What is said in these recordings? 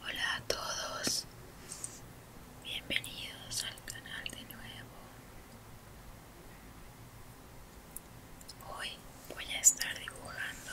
Hola a todos, bienvenidos al canal de nuevo. Hoy voy a estar dibujando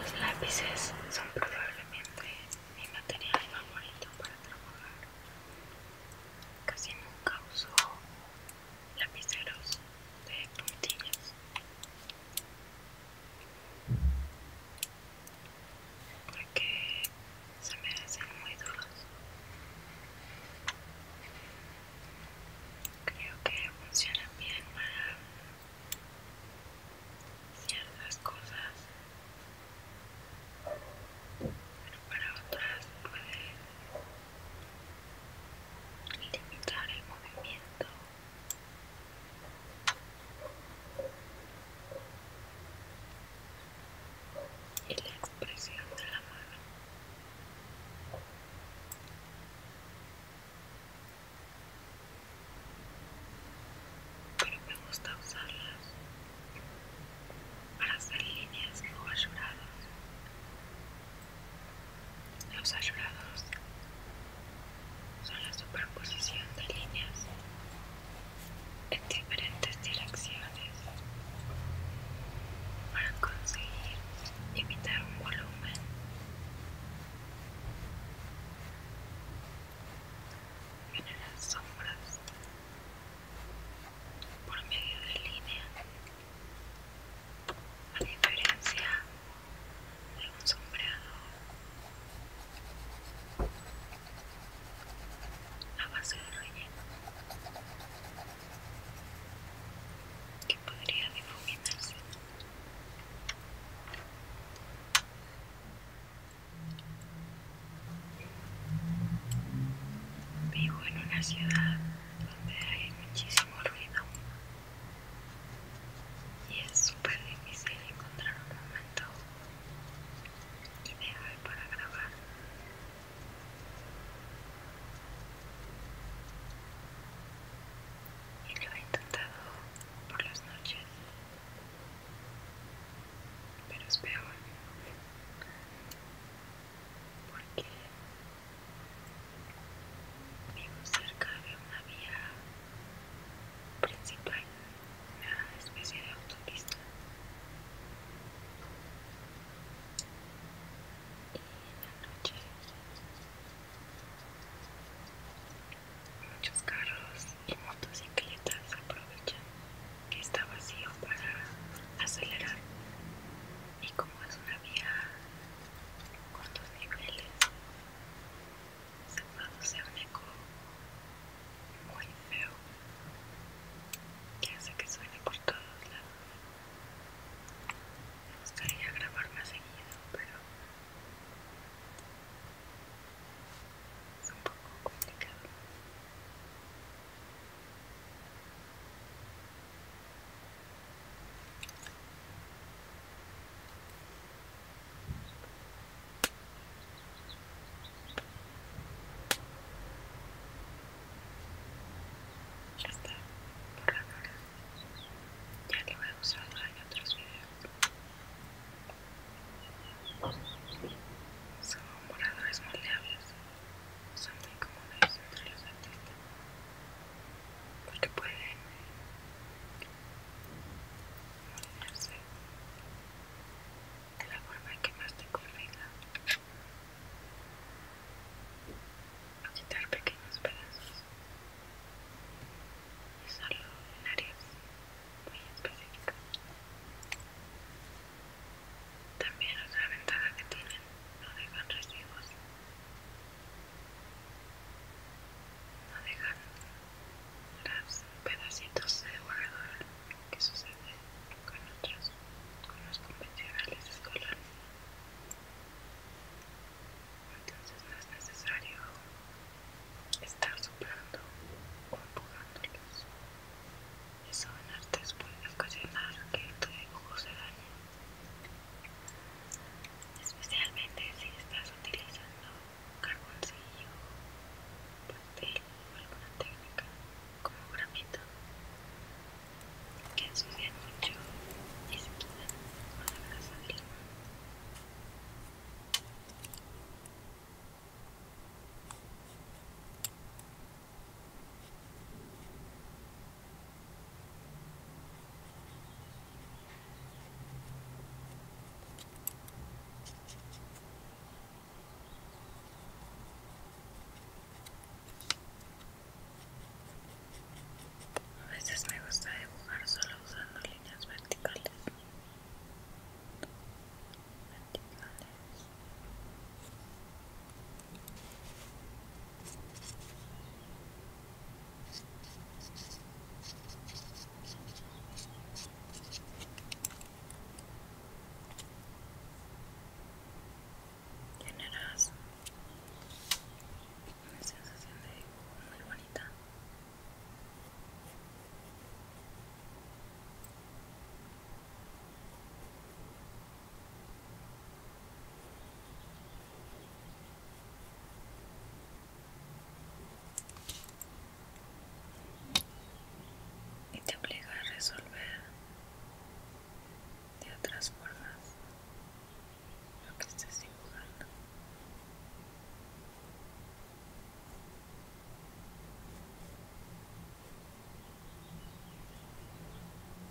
Los lápices son probablemente mi material favorito para trabajar. Casi nunca uso lapiceros de puntillas porque se me hacen muy duros creo que funcionan bien para ciertas cosas pero para otras puede limitar el movimiento y la expresión de la mano. Pero me gusta usarlas para hacer líneas o ayudadas los ayudados son la superposición de líneas en diferentes direcciones para conseguir imitar un volumen. las sombras por medio de líneas a diferencia de un sombreado a base de relleno que podría difuminarse Vivo en una ciudad donde hay muchísimo ruido y es súper difícil encontrar un momento ideal para grabar y lo he intentado por las noches pero es peor porque Vivo cerca de una vía principal, una especie de autopista. Y en la noche muchos carros y motocicletas aprovechan que está vacío para acelerar y como es una vía con dos niveles se produce un eco muy feo que hace que suene por todos lados me gustaría grabar más seguido pero es un poco complicado ya está, claro ya lo voy a usar en otros videos. Son moradores moldeables son muy cómodas entre los artistas porque pueden de la forma que más te convenga quitar pequeños pedazos y solo en áreas muy específicas también la ventaja que tienen no dejan residuos no dejan los pedacitos de borrador que sucede con con los convencionales de Entonces no es necesario estar soplando o empujándolos. Eso en artes puede ocasionar que tu se dañe especialmente si estás utilizando carboncillo, papel o alguna técnica como gramito que ensucia mucho y se con la grasa de a veces me gusta dibujar solo usando líneas verticales. verticales. Generas una sensación de muy bonita y te obliga a resolver de otras formas lo que estés dibujando.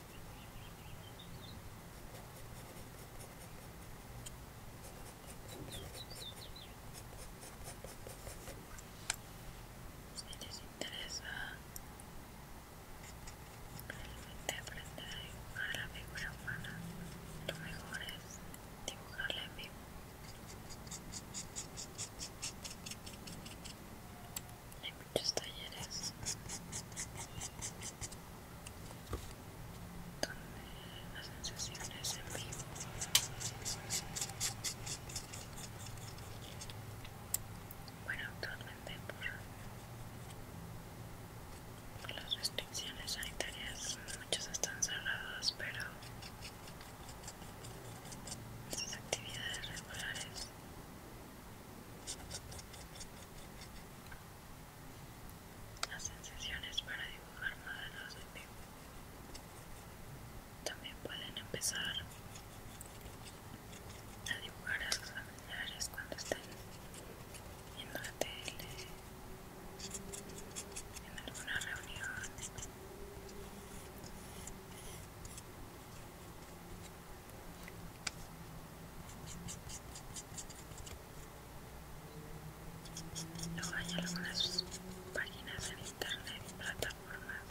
Si les interesa realmente aprender a dibujar la figura humana, lo mejor es dibujarla en vivo. hay muchos talleres donde hacen sesiones en vivo bueno actualmente por, las restricciones sanitarias muchos están cerrados pero esas actividades regulares las sensaciones para dibujar modelos de vivo. También pueden empezar a dibujar a sus familiares cuando estén viendo la tele, en alguna reunión. Luego hay algunas páginas en internet y plataformas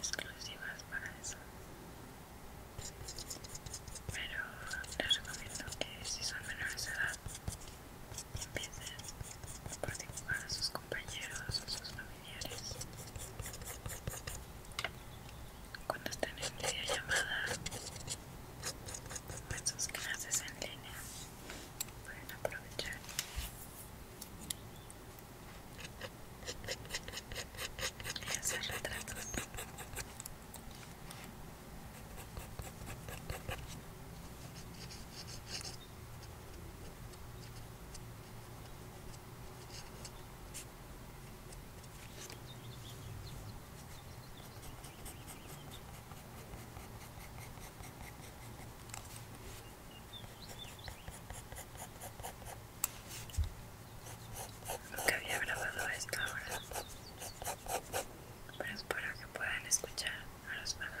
exclusivas para eso. Pero les recomiendo que si son menores de edad empiecen a participar a sus compañeros o sus familiares cuando estén en línea llamada nuestros clases en línea pueden aprovechar y hacer Nunca había grabado esta hora, pero espero que puedan escuchar a los pájaros.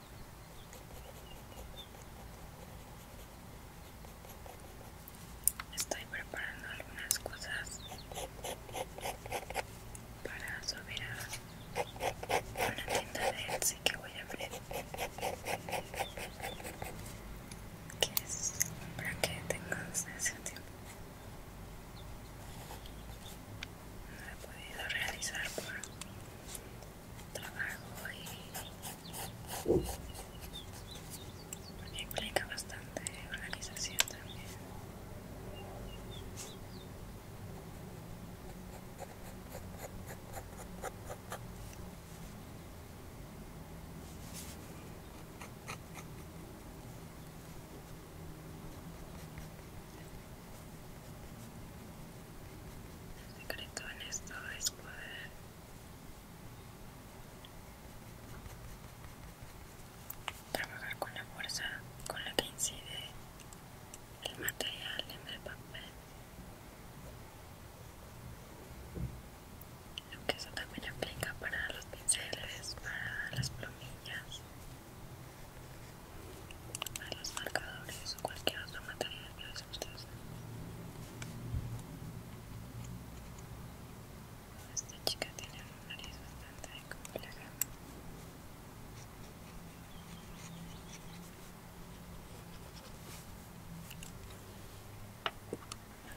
Estoy preparando algunas cosas para subir a una tienda de Etsy que voy a abrir que es para que tenga un tiempo no he podido realizar por trabajo y implica bastante organización también. El secreto en esto es poder trabajar con la fuerza con la que incide el material en el papel. Aunque que eso también aplica para los pinceles, para las plumillas, para los marcadores o cualquier otro material esta chica tiene un nariz bastante compleja.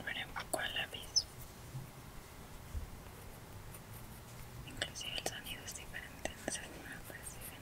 Veremos un poco al lápiz. Inclusive el sonido es diferente, no sé si me lo perciben.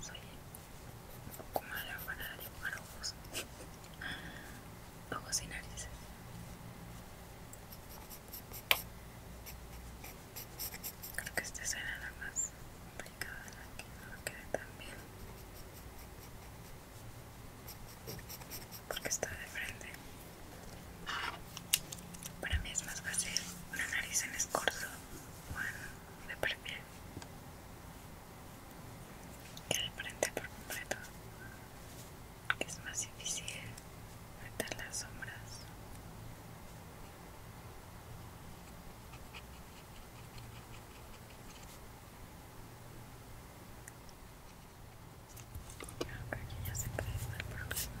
soy un poco madre para dibujar ojos ojos y narices creo que esta será la más complicada la que no quede tan bien porque está de frente para mí es más fácil una nariz en escorzo o en de perfil y al frente por completo que es más difícil meter las sombras yo que ya se presenta el problema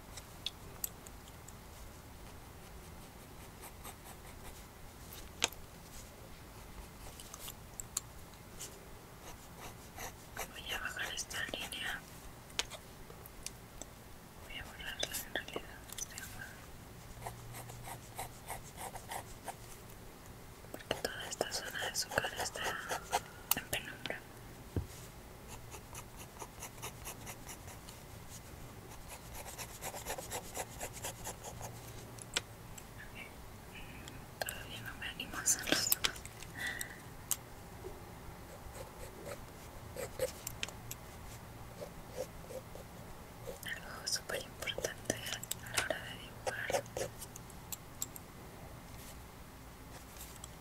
Voy a bajar esta línea. Voy a borrarla en realidad. Este Porque toda esta zona de su cara está en penumbra. Todavía no me animo a hacerlo Algo súper importante a la hora de dibujar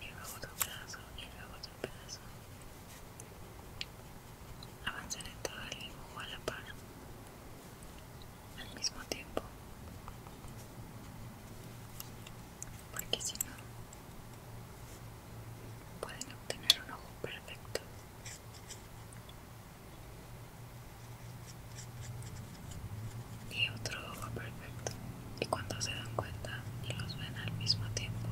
y luego otro pedazo y luego otro pedazo avanzar en todo el dibujo a la par, al mismo tiempo, porque si no, pueden obtener un ojo perfecto y otro ojo perfecto. Y cuando se dan cuenta y los ven al mismo tiempo,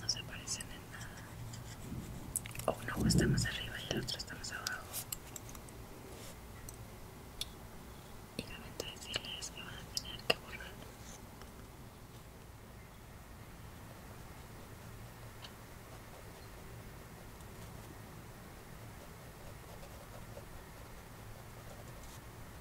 no se parecen en nada. O está más arriba y el otro está más abajo. Y la decirles que van a tener que borrar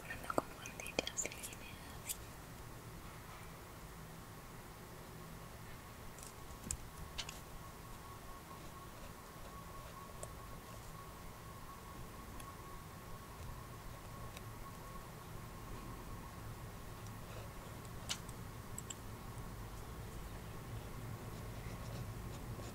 para no confundir las líneas.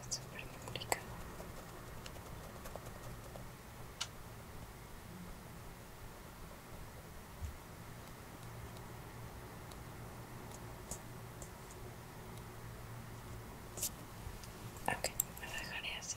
es súper complicado. Ok, me así.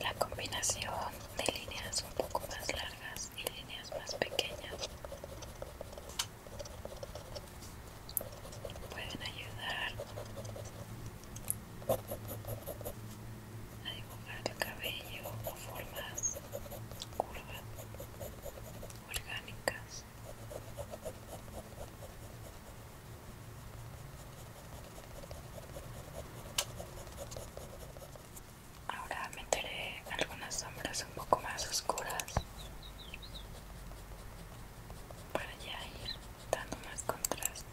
La combinación de líneas un poco más largas y líneas más pequeñas pueden ayudar a dibujar el cabello o formas curvas orgánicas Ahora meteré algunas sombras un poco más oscuras para ya ir dando más contraste.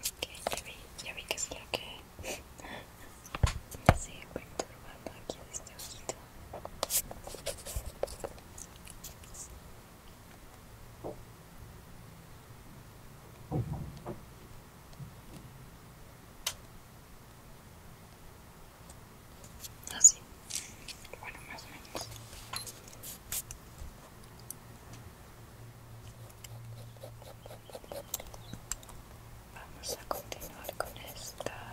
Ok, ya vi, ya vi que es lo que me sigue perturbando aquí de este ojito. Así, bueno, más o menos. Vamos a continuar con esta.